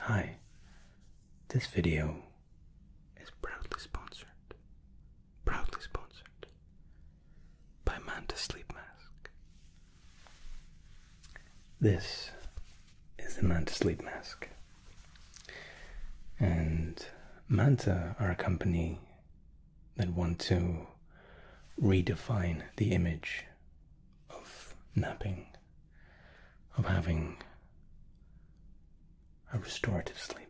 Hi, this video is proudly sponsored, proudly sponsored by Manta Sleep Mask. This is the Manta Sleep Mask, and Manta are a company that want to redefine the image of napping, of having a restorative sleep.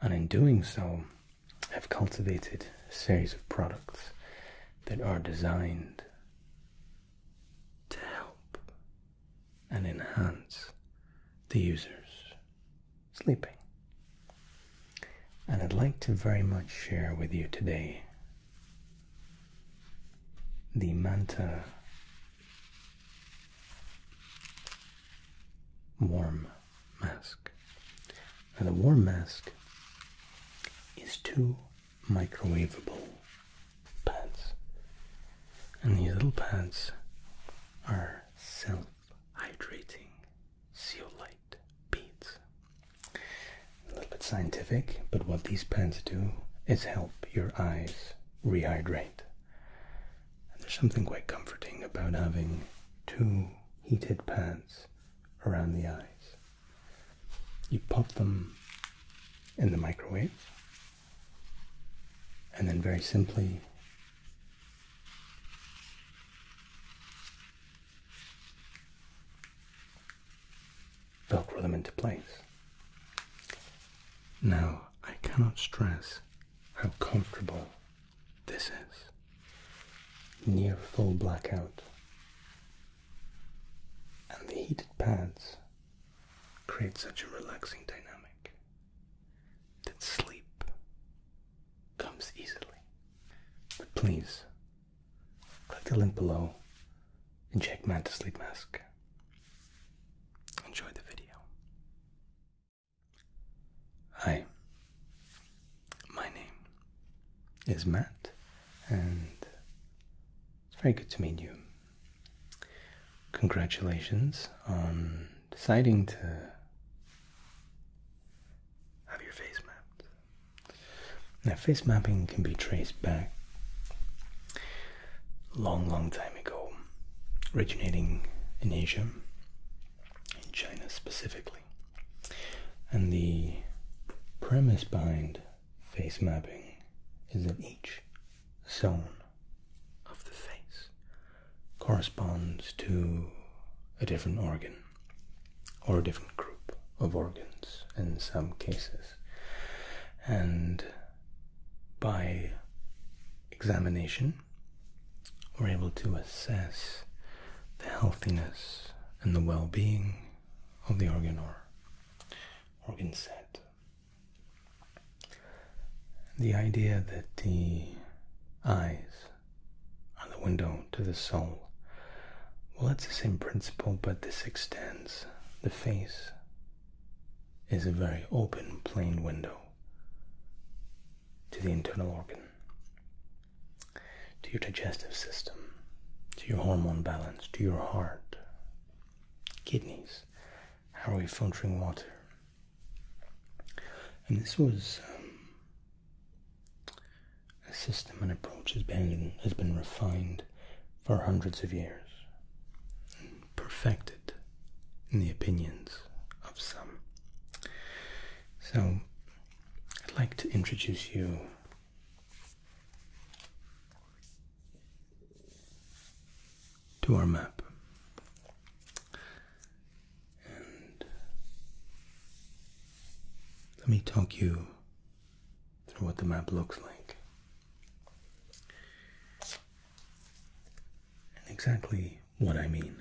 And in doing so, have cultivated a series of products that are designed to help and enhance the users sleeping. And I'd like to very much share with you today the manta warm mask. and the warm mask is two microwavable pads, and these little pads are self hydrating zeolite beads a little bit scientific, but what these pens do is help your eyes rehydrate. And there's something quite comforting about having two heated pads around the eyes. You pop them in the microwave, and then very simply velcro them into place. Now, I cannot stress how comfortable this is. Near full blackout. And the heated pads create such a relaxing dynamic that sleep comes easily. But please Click the link below and check Manta Sleep Mask. Enjoy the video. Hi, my name is Matt, and it's very good to meet you. Congratulations on deciding to have your face mapped. Now, face mapping can be traced back a long, long time ago, originating in Asia, in China specifically. And the premise behind face mapping is that each zone of the face corresponds to a different organ or a different group of organs in some cases and by examination we're able to assess the healthiness and the well-being of the organ or organ set. The idea that the eyes are the window to the soul. Well, that's the same principle, but this extends the face is a very open, plain window to the internal organ, to your digestive system, to your hormone balance, to your heart, kidneys, how are we filtering water? And this was um, a system and approach has been has been refined for hundreds of years, perfected in the opinions of some. So, I'd like to introduce you to our map. And let me talk you through what the map looks like. And exactly what I mean.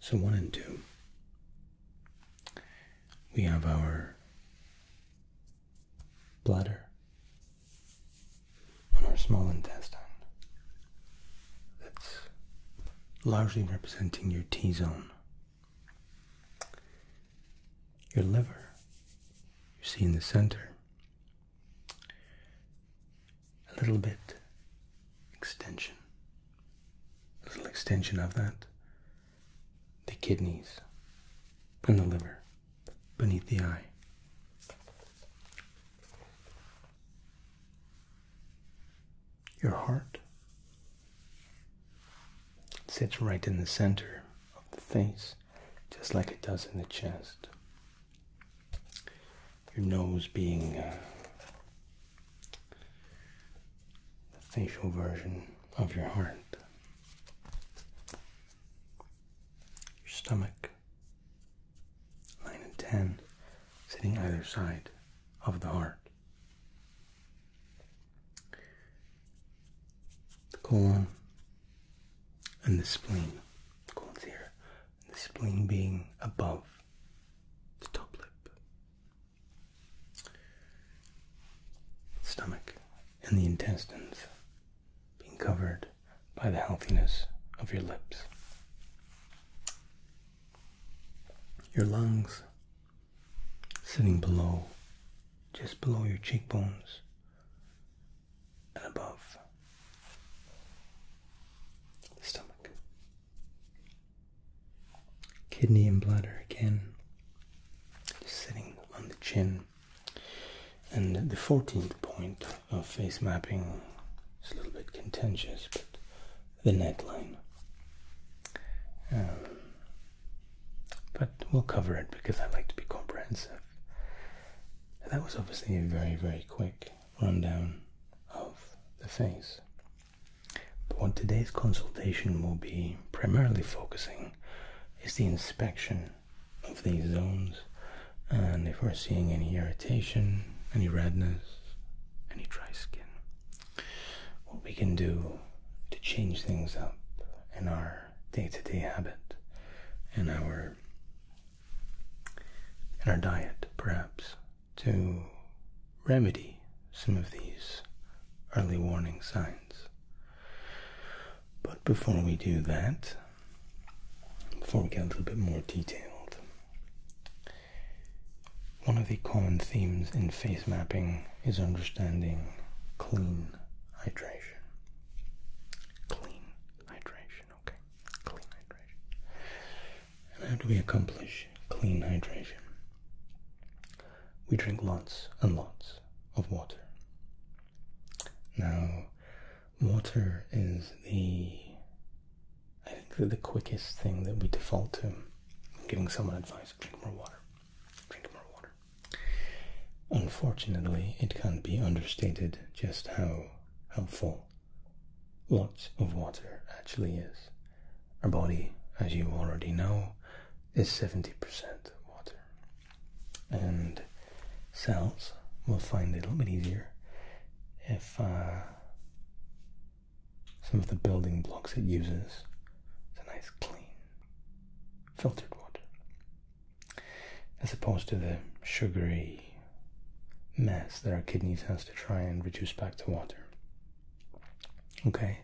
So, one and two, we have our bladder and our small intestine that's largely representing your T zone. Your liver, you see in the center, a little bit extension, a little extension of that, the kidneys and the liver beneath the eye your heart. sits right in the center of the face, just like it does in the chest. Your nose being uh, the facial version of your heart. Your stomach 9 and 10 sitting either side of the heart. The colon and the spleen. The colon's here. the spleen being above the top lip. The stomach and the intestines being covered by the healthiness of your lips. Your lungs sitting below, just below your cheekbones and above the stomach. Kidney and bladder again, just sitting on the chin. And the 14th point of face mapping is a little bit contentious, but the neckline. Um, but we'll cover it because I like to be comprehensive. That was obviously a very, very quick rundown of the face. But what today's consultation will be primarily focusing is the inspection of these zones and if we're seeing any irritation, any redness, any dry skin. What we can do to change things up in our day-to-day habit, in our in our diet, perhaps, to remedy some of these early warning signs. But before we do that, before we get a little bit more detailed, one of the common themes in face mapping is understanding clean hydration. Clean hydration, okay. Clean hydration. how do we accomplish clean hydration? We drink lots and lots of water. Now, water is the I think the quickest thing that we default to giving someone advice drink more water. Drink more water. Unfortunately, it can't be understated just how helpful lots of water actually is. Our body, as you already know, is 70% water. And cells will find it a little bit easier if uh, some of the building blocks it uses. It's a nice clean filtered water. As opposed to the sugary mess that our kidneys has to try and reduce back to water. Okay,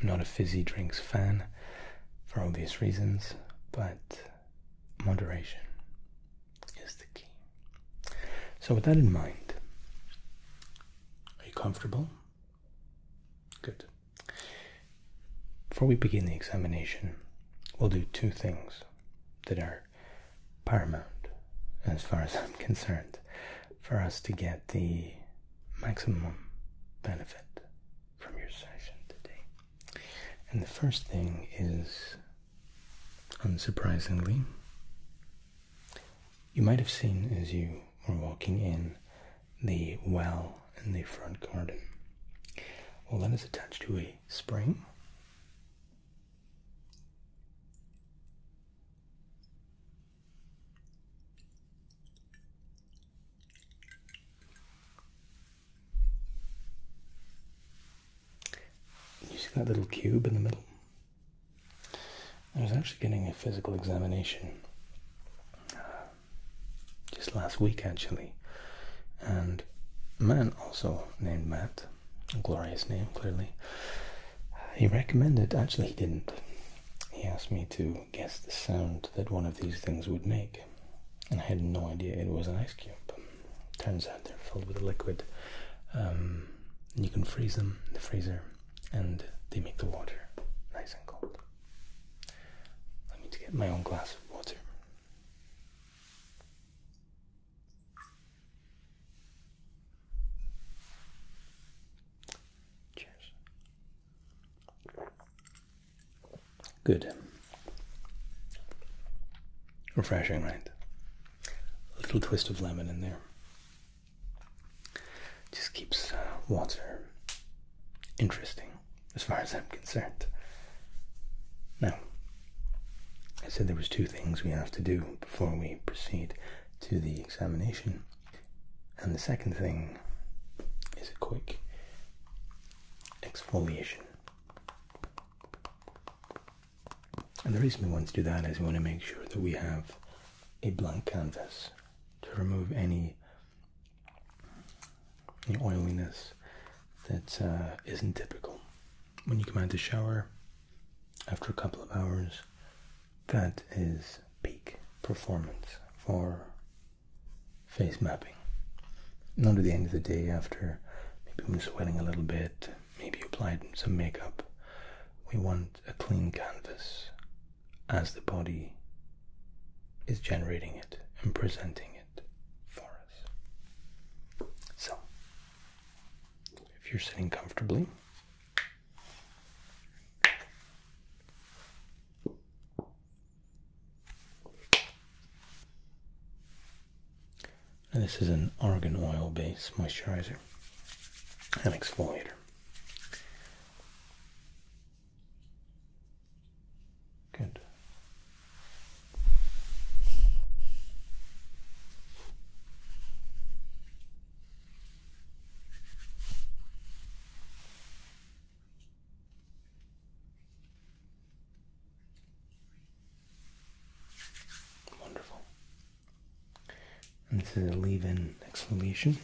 I'm not a fizzy drinks fan for obvious reasons, but moderation is the key. So, with that in mind, are you comfortable? Good. Before we begin the examination, we'll do two things that are paramount as far as I'm concerned for us to get the maximum benefit from your session today. And the first thing is Unsurprisingly, you might have seen as you were walking in the well in the front garden. Well, that is attached to a spring. You see that little cube in the middle? I was actually getting a physical examination uh, just last week, actually, and a man also named Matt, a glorious name, clearly. He recommended, actually, he didn't. He asked me to guess the sound that one of these things would make, and I had no idea it was an ice cube turns out they're filled with a liquid. Um, and you can freeze them in the freezer, and they make the water nice and cold. I need to get my own glass of water. Cheers. Good. Refreshing, right? a little twist of lemon in there. Just keeps uh, water interesting as far as I'm concerned. Now, I said there was two things we have to do before we proceed to the examination. And the second thing is a quick exfoliation. And the reason we want to do that is we want to make sure that we have a blank canvas to remove any, any oiliness that uh, not typical. When you come out of the shower, after a couple of hours, that is peak performance for face mapping. Not at the end of the day after maybe I'm sweating a little bit, maybe applied some makeup. We want a clean canvas as the body is generating it and presenting it for us. So, if you're sitting comfortably, this is an argan oil based moisturizer and exfoliator. Good. Wonderful and to leave in exfoliation.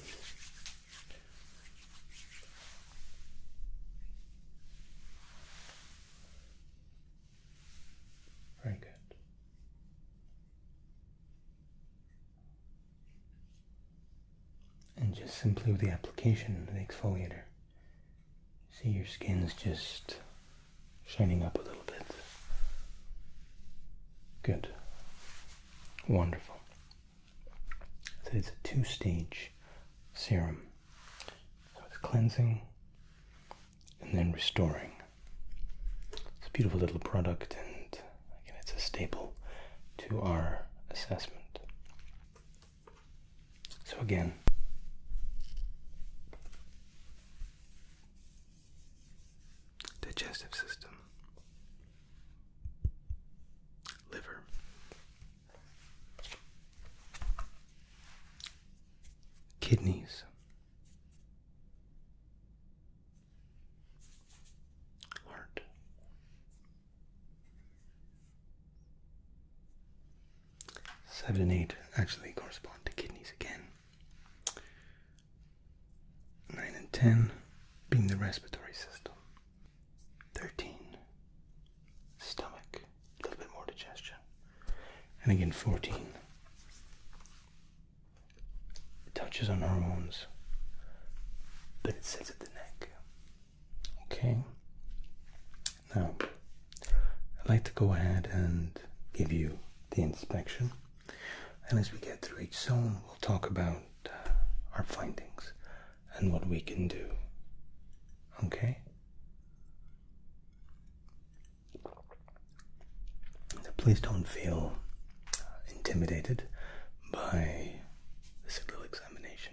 Very good. And just simply with the application of the exfoliator, see your skin's just shining up a little bit. Good. Wonderful. it's a two stage serum. So it's cleansing and then restoring. It's a beautiful little product, and again, it's a staple to our assessment. So, again, digestive system, liver, kidneys. Heart, seven and eight actually correspond to kidneys again, 9 and 10 being the respiratory system. 13, stomach, a little bit more digestion. And again, 14 touches on hormones, but it sits at the neck. Okay, now I'd like to go ahead and give you the inspection. And as we get through each zone, we'll talk about uh, our findings and what we can do. Okay? So please don't feel intimidated by this little examination.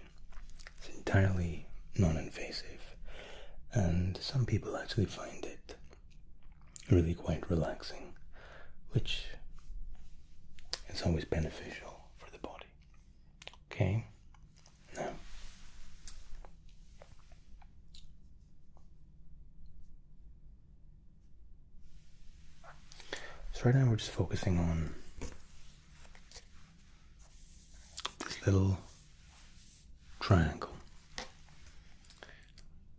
It's entirely non invasive, and some people actually find it really quite relaxing, which is always beneficial for the body. Okay? so right now we're just focusing on this little triangle.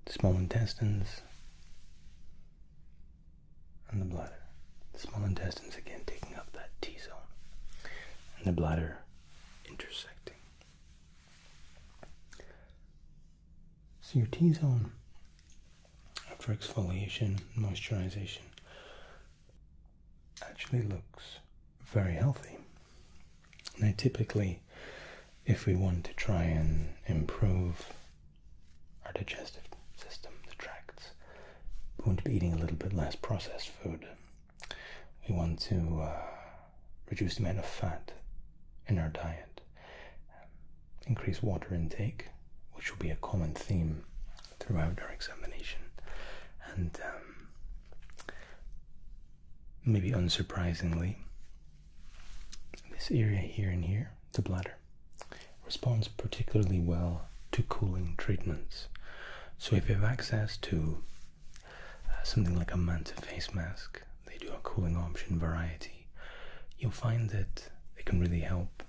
small intestines and the bladder. small intestines again taking up that T zone. And the bladder intersecting. So your T zone after exfoliation, moisturization actually looks very healthy. Now, typically, if we want to try and improve our digestive system, the tracts, we want to be eating a little bit less processed food. We want to uh, reduce the amount of fat in our diet, um, increase water intake, which will be a common theme throughout our examination, and um, maybe unsurprisingly, this area here and here, the bladder, responds particularly well to cooling treatments. So if you have access to uh, something like a Manta face mask, they do a cooling option variety, you'll find that it can really help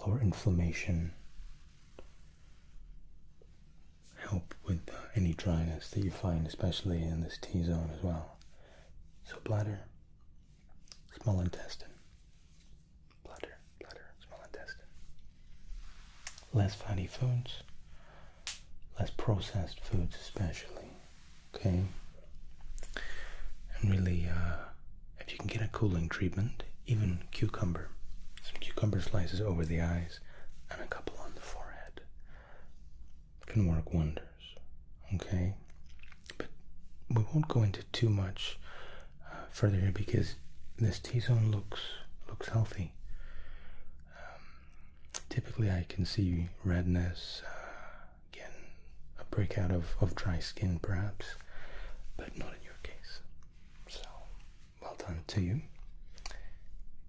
lower inflammation help with uh, any dryness that you find, especially in this T zone as well. So, bladder, small intestine, bladder, bladder, small intestine. Less fatty foods, less processed foods, especially. Okay? And really, uh, if you can get a cooling treatment, even cucumber, some cucumber slices over the eyes, and a couple on the forehead can work wonders. Okay, but we won't go into too much uh, further here because this T-zone looks looks healthy. Um, typically, I can see redness uh, again, a breakout of of dry skin, perhaps, but not in your case. So well done to you.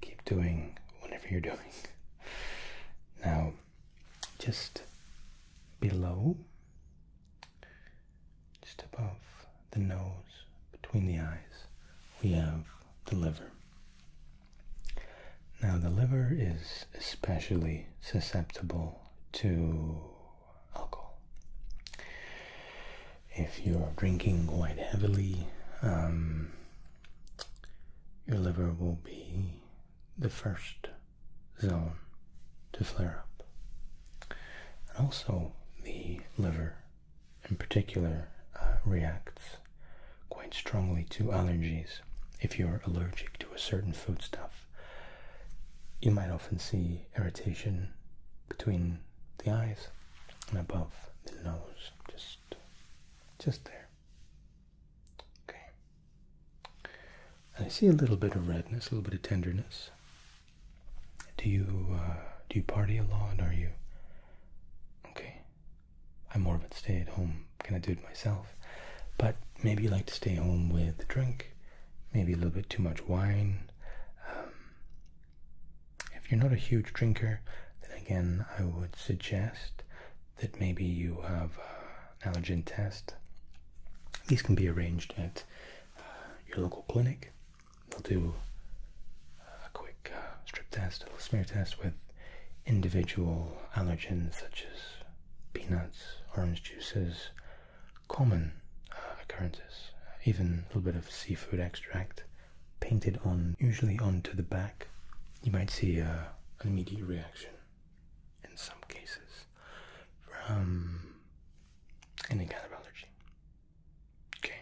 Keep doing whatever you're doing. Now, just below, just above the nose, between the eyes, we have the liver. Now, the liver is especially susceptible to alcohol if you're drinking quite heavily, um, your liver will be the first zone to flare up. And also, the liver in particular uh, reacts quite strongly to allergies. If you're allergic to a certain foodstuff, you might often see irritation between the eyes and above the nose, just just there. Okay. I see a little bit of redness, a little bit of tenderness. Do you uh, do you party a lot? Are you okay? I'm more of a stay at home Can I do it myself, but maybe you like to stay home with a drink, maybe a little bit too much wine. Um, if you're not a huge drinker, then again, I would suggest that maybe you have uh, an allergen test. These can be arranged at uh, your local clinic. They'll do uh, a quick strip test, a little smear test with individual allergens such as peanuts, orange juices, common occurrences, even a little bit of seafood extract painted on, usually onto the back, you might see an immediate reaction in some cases from any kind of allergy. Okay.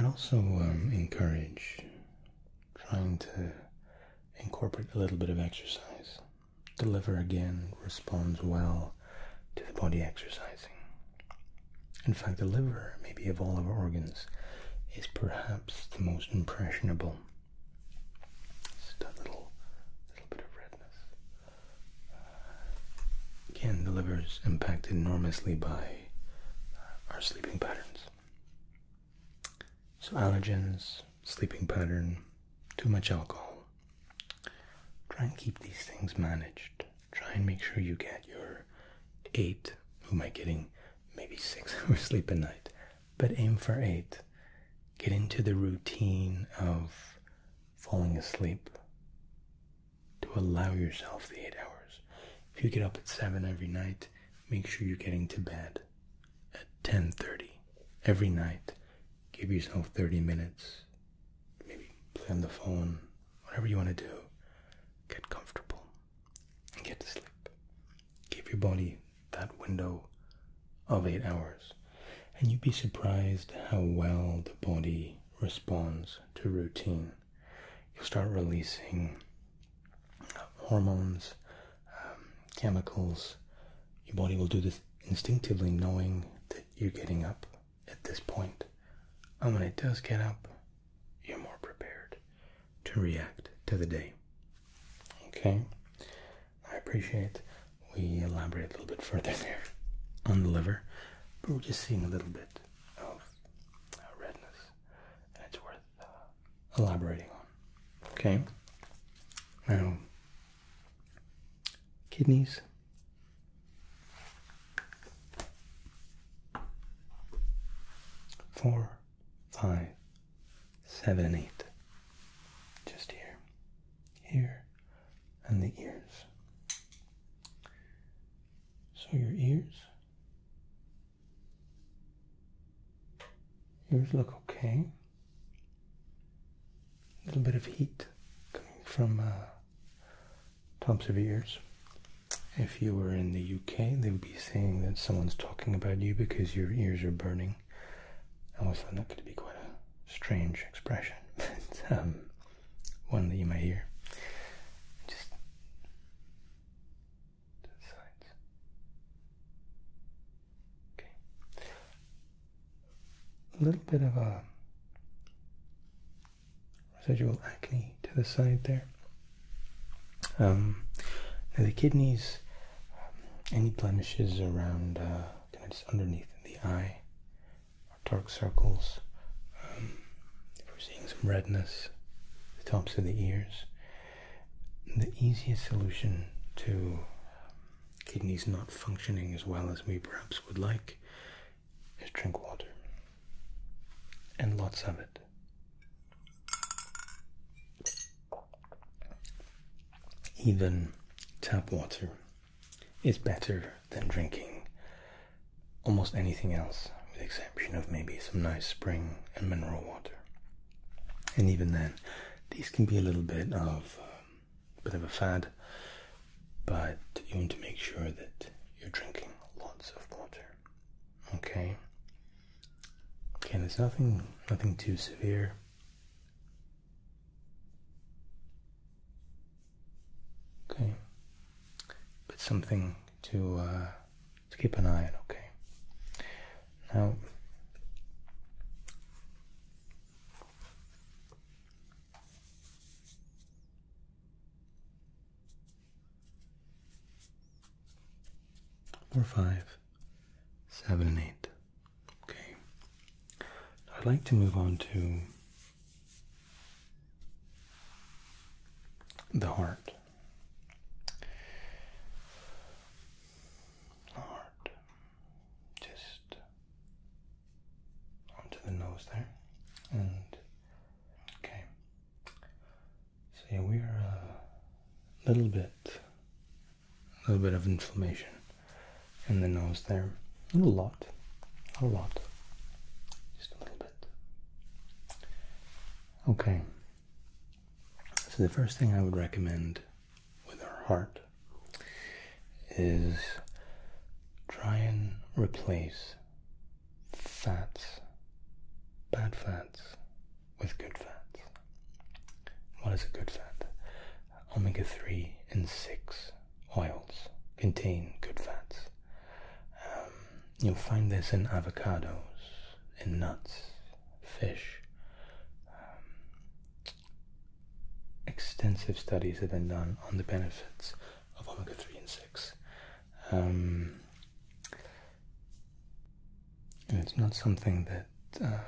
i also um, encourage trying to incorporate a little bit of exercise. The liver again responds well to the body exercising. In fact, the liver, maybe of all of our organs, is perhaps the most impressionable. Just a little, little bit of redness. Uh, again, the liver is impacted enormously by uh, our sleeping patterns. So allergens, sleeping pattern, too much alcohol. Try and keep these things managed. Try and make sure you get your eight. Who am I getting? Maybe six hours sleep a night, but aim for eight. Get into the routine of falling asleep to allow yourself the eight hours. If you get up at seven every night, make sure you're getting to bed at 10:30 every night. Give yourself 30 minutes maybe play on the phone, whatever you want to do. Get comfortable and get to sleep. Give your body that window of eight hours, and you'd be surprised how well the body responds to routine. You'll start releasing uh, hormones, um, chemicals. Your body will do this instinctively, knowing that you're getting up at this point, and when it does get up, you're more prepared to react to the day. Okay, I appreciate we elaborate a little bit further there on the liver, but we're just seeing a little bit of uh, redness, and it's worth uh, elaborating on. Okay, now kidneys Four, five, seven, eight. Just here, here, and the ears. So your ears. ears look okay. A little bit of heat coming from uh, tops of ears. If you were in the UK, they would be saying that someone's talking about you because your ears are burning. I always found that could be quite a strange expression, but um, one that you might hear. Just sides. Okay. A little bit of a residual acne to the side there. Um, now the kidneys, um, any blemishes around, uh, just underneath the eye, dark circles. Um, we're seeing some redness, the tops of the ears. The easiest solution to kidneys not functioning as well as we perhaps would like is drink water and lots of it. Even tap water is better than drinking almost anything else, with the exception of maybe some nice spring and mineral water. And even then, these can be a little bit of a um, bit of a fad, but you want to make sure that you're drinking lots of water. Okay. Okay, there's nothing nothing too severe. Okay. But something to uh, to keep an eye on, okay. Now Four, five, seven, and eight. Okay. I'd like to move on to the heart. heart. Just onto the nose there. And okay. So yeah, we are uh, a little bit, a little bit of inflammation in the nose there. Not a lot, not a lot, just a little bit. Okay. So the first thing I would recommend with our heart is try and replace fats, bad fats with good fats. What is a good fat? Omega 3 and 6 oils contain good fats. Um, you'll find this in avocados, in nuts, fish. Um, extensive studies have been done on the benefits of omega 3 and 6. Um, it's not something that uh,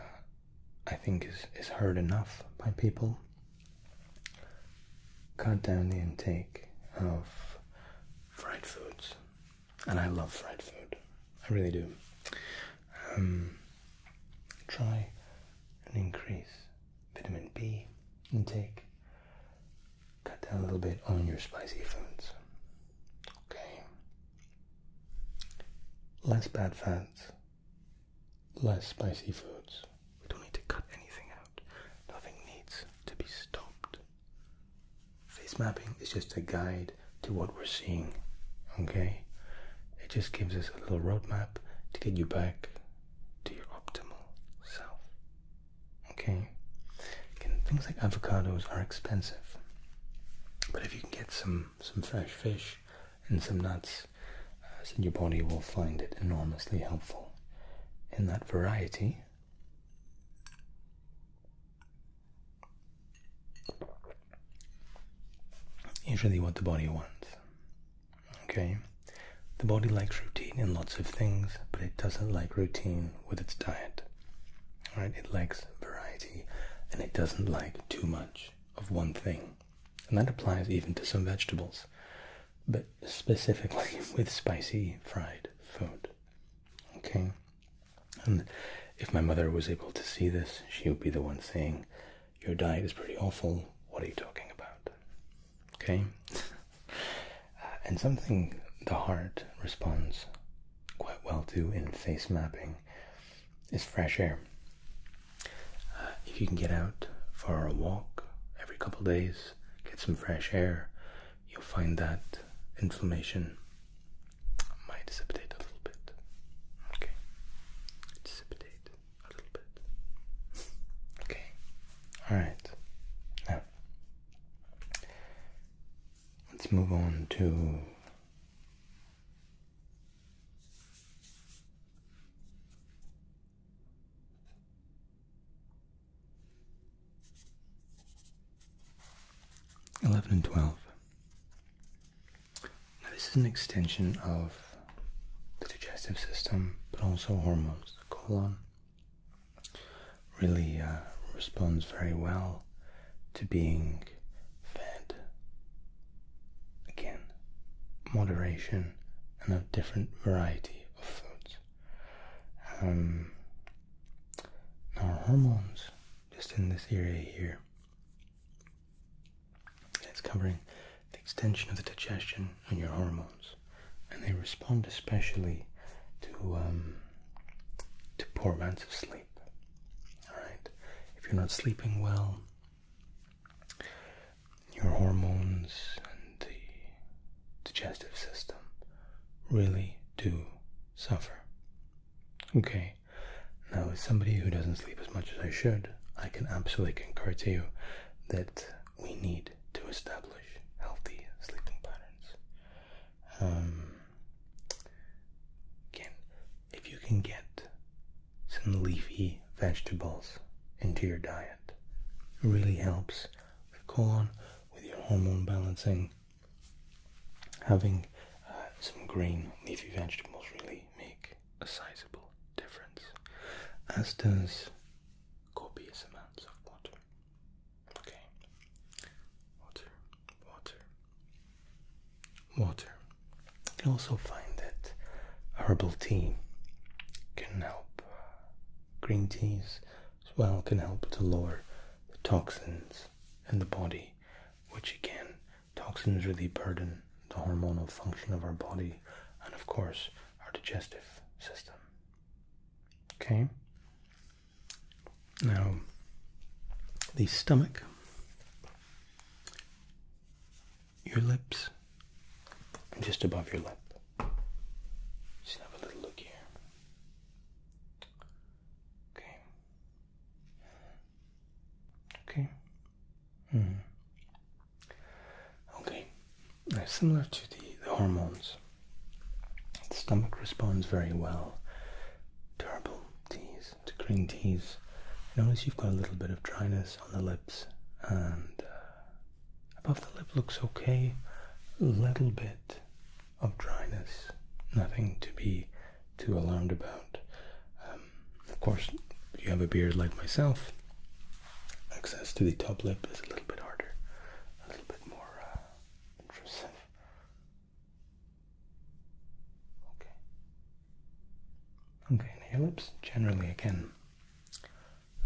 I think is, is heard enough by people. Cut down the intake of fried foods. And I love fried food. I really do. Um, try and increase vitamin B intake cut down a little bit on your spicy foods. Okay. Less bad fats, less spicy foods. We don't need to cut anything out. Nothing needs to be stopped. Face mapping is just a guide to what we're seeing. Okay? It just gives us a little roadmap to get you back to your optimal self. Okay, Again, things like avocados are expensive, but if you can get some some fresh fish and some nuts, uh, your body will find it enormously helpful in that variety. Usually, what the body wants. Okay, the body likes routine in lots of things, but it doesn't like routine with its diet. All right, it likes variety and it doesn't like too much of one thing. And that applies even to some vegetables, but specifically with spicy fried food. Okay? And if my mother was able to see this, she would be the one saying, Your diet is pretty awful. What are you talking about? okay? Uh, and something the heart responds quite well to in face mapping is fresh air. Uh, if you can get out for a walk every couple days, get some fresh air, you'll find that inflammation might dissipate a little bit. Okay, dissipate a little bit. Okay, all right. Now, Let's move on to eleven and twelve. Now this is an extension of the digestive system, but also hormones, the colon, really uh, responds very well to being fed. Again, moderation and a different variety of foods. Um, our hormones, just in this area here, it's covering the extension of the digestion and your hormones and they respond especially to um, to poor amounts of sleep. All right, if you're not sleeping well, your hormones and the digestive system really do suffer. Okay, now as somebody who doesn't sleep as much as I should, I can absolutely concur to you that we need to establish healthy sleeping patterns. Um, again, if you can get some leafy vegetables into your diet, it really helps with colon, with your hormone balancing. Having uh, some green leafy vegetables really make a sizable difference, as does copious amounts of water. Okay. Water, water, water. You can also find that herbal tea can help. Green teas as well can help to lower the toxins in the body, which again, toxins really burden the hormonal function of our body and, of course, our digestive system. Okay. Now, the stomach, your lips, just above your lip. Just have a little look here. Okay. Okay. Hmm. Okay similar to the, hormones. The stomach responds very well to herbal teas, green teas. Notice you've got a little bit of dryness on the lips, and uh, above the lip looks okay. A little bit of dryness, nothing to be too alarmed about. Um, of course, if you have a beard like myself, access to the top lip is a little bit harder, a little bit more uh, intrusive. Okay. Okay, and your lips generally again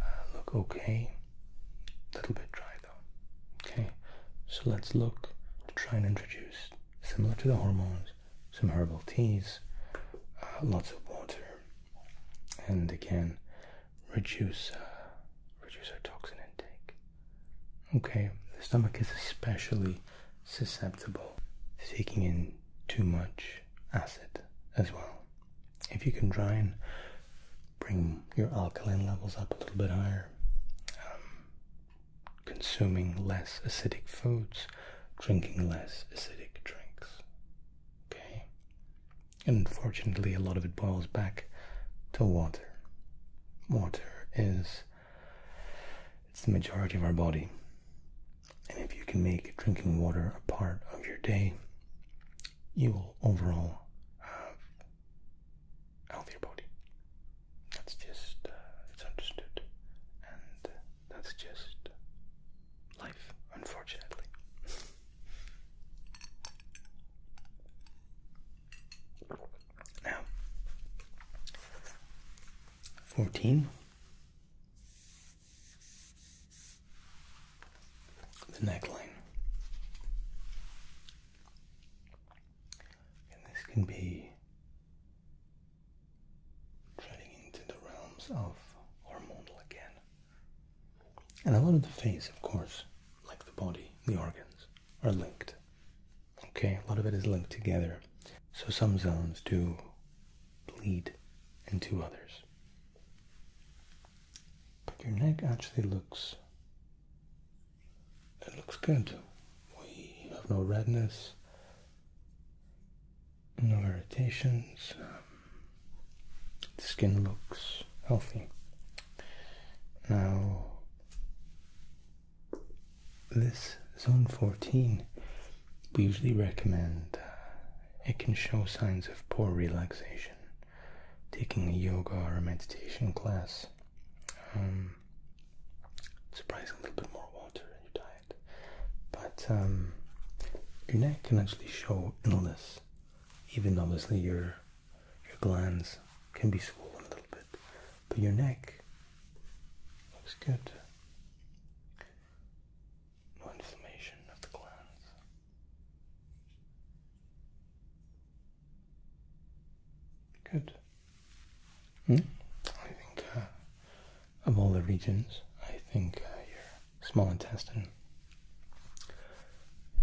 uh, look okay. A little bit dry though. Okay, so let's look to try and introduce, similar to the hormones, some herbal teas, uh, lots of water, and again, reduce uh, reduce our toxin intake. Okay, the stomach is especially susceptible to taking in too much acid as well. If you can try and bring your alkaline levels up a little bit higher, um, consuming less acidic foods, drinking less acidic drinks. Okay, and unfortunately, a lot of it boils back to water. Water is it's the majority of our body. And if you can make drinking water a part of your day, you will overall have a healthier body. That's just, uh, it's understood. And uh, that's just life, unfortunately. Now, fourteen. The neckline. And this can be treading into the realms of hormonal again. And a lot of the face, of course, like the body, the organs, are linked. Okay, a lot of it is linked together. So some zones do bleed into others. But your neck actually looks it looks good. We have no redness, no irritations. The skin looks healthy. Now, this zone 14, we usually recommend uh, it can show signs of poor relaxation. Taking a yoga or a meditation class, um, a little bit more water in your diet, but um, your neck can actually show illness, even obviously your your glands can be swollen a little bit, but your neck looks good. No inflammation of the glands. Good. Hmm? I think uh, of all the regions, I think uh, your small intestine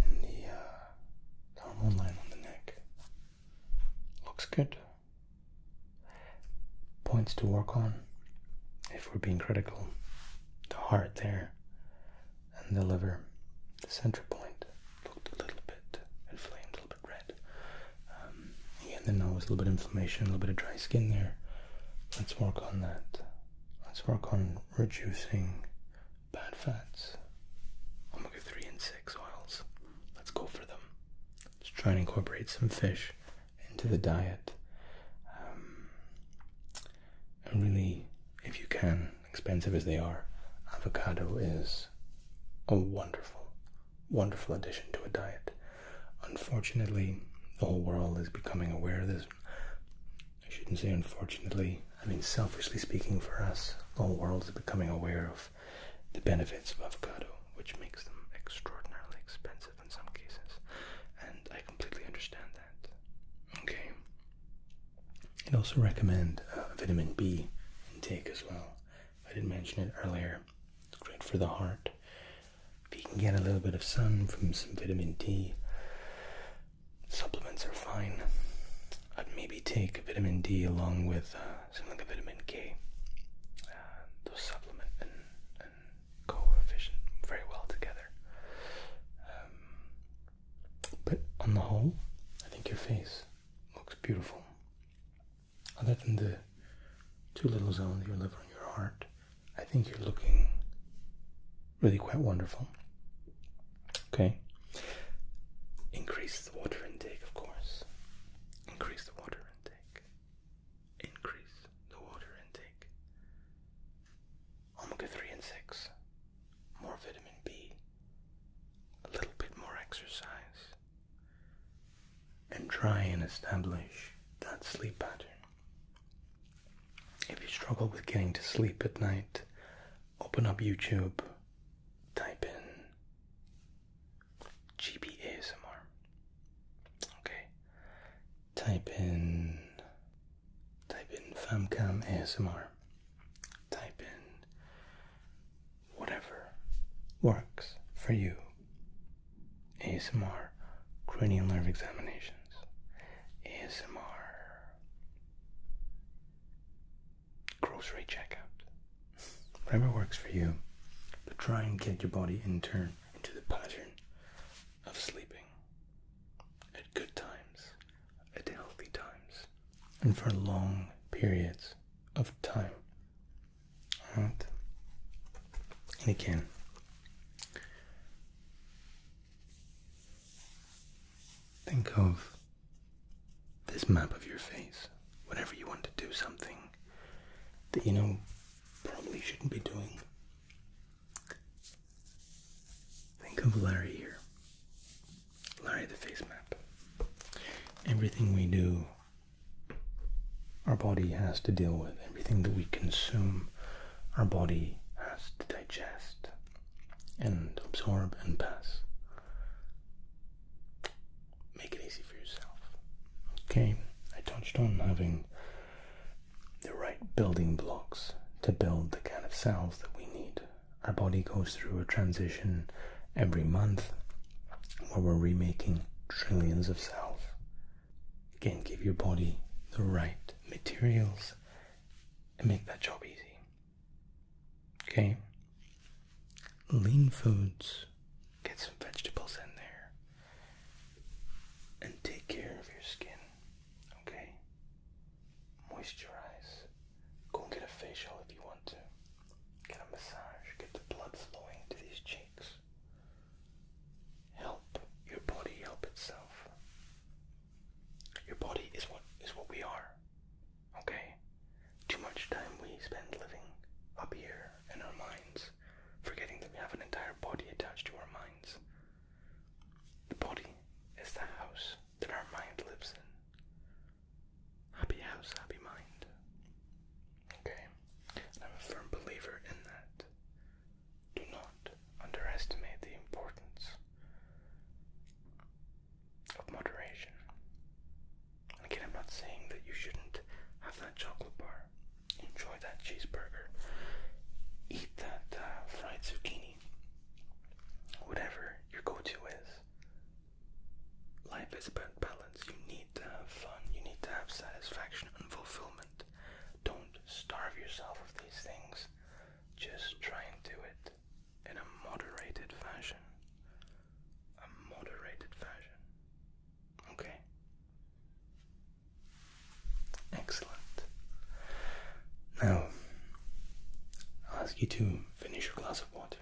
and the uh, line on the neck looks good. Points to work on, if we're being critical, the heart there and the liver, the center point looked a little bit inflamed, a little bit red. Um, again, the nose, a little bit of inflammation, a little bit of dry skin there. Let's work on that. Let's work on reducing bad fats, omega 3 and 6 oils. Let's go for them. Let's try and incorporate some fish into the diet. Um, and really, if you can, expensive as they are, avocado is a wonderful, wonderful addition to a diet. Unfortunately, the whole world is becoming aware of this. I shouldn't say unfortunately, I mean selfishly speaking for us, all worlds are becoming aware of the benefits of avocado, which makes them extraordinarily expensive in some cases. And I completely understand that. Okay. I'd also recommend uh, vitamin B intake as well. I didn't mention it earlier. It's great for the heart. If you can get a little bit of sun from some vitamin D, Supplements are fine. I'd maybe take vitamin D along with uh, something like vitamin K. Uh, those supplement go very well together. Um, but on the whole, I think your face looks beautiful. Other than the two little zones, your liver and your heart, I think you're looking really quite wonderful. Okay. Increase the water intake, of course. Increase the water intake. Increase the water intake. Omega 3 and 6. More vitamin B. A little bit more exercise. And try and establish that sleep pattern. If you struggle with getting to sleep at night, open up YouTube, type in GB ASMR. Okay. Type in type in Famcam ASMR. Type in whatever works for you. ASMR cranial nerve examinations. ASMR grocery checkout. Whatever works for you, but try and get your body in turn into the pattern of sleeping at good times, at healthy times, and for long periods of time. And again, Think of this map of your face whenever you want to do something that you know probably shouldn't be doing. Think of Larry here. Larry the face map. Everything we do, our body has to deal with. Everything that we consume, our body has to digest and absorb and pass. Make it easy for yourself. Okay, I touched on having the right building blocks to build the kind of cells that we need. Our body goes through a transition every month where we're remaking trillions of cells. Again, give your body the right materials and make that job easy. Okay. Lean foods. Get some vegetables in there. And take care of your skin. Okay? Moisturize. Go and get a facial if you want to. Get a massage. Get the blood flowing to these cheeks. Help your body help itself. Your body is what is what we are. Okay? Too much time we spend living up here in our minds, forgetting that we have an entire body attached to our minds. The body is the house that our mind lives in. Happy house, happy mind. Okay? I'm a firm believer in that. Do not underestimate the importance of moderation. again, I'm not saying that you shouldn't have that chocolate bar, enjoy that cheeseburger, eat that uh, fried zucchini, whatever your go to is. Life is about balance. You need to have fun, you need to have satisfaction and fulfillment. Don't starve yourself of these things. Just try and do it in a moderated fashion. A moderated fashion. Okay. Excellent. Now, I'll ask you to finish your glass of water.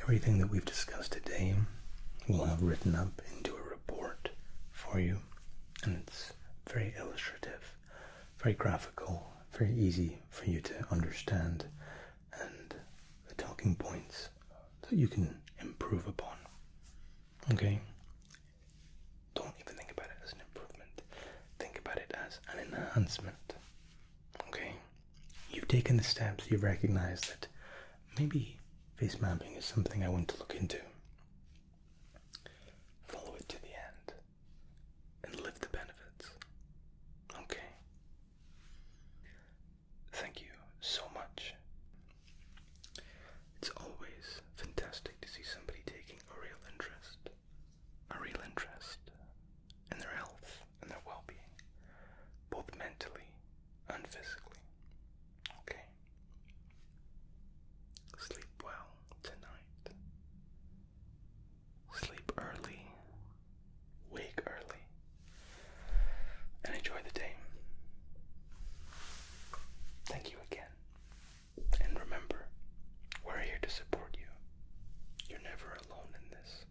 Everything that we've discussed today we'll have written up into a report for you and it's very illustrative, very graphical, very easy for you to understand, and the talking points that you can improve upon. Okay? Don't even think about it as an improvement, think about it as an enhancement. Okay? You've taken the steps, you've recognized that maybe face mapping is something I want to look into. Follow it to the end and live the benefits. Okay. Thank you so much. It's always fantastic to see somebody taking a real interest, a real interest in their health and their well being, both mentally and physically. Okay. Sleep well tonight. Sleep early. Wake early. And enjoy the day. Thank you again. And remember, we're here to support you. You're never alone in this.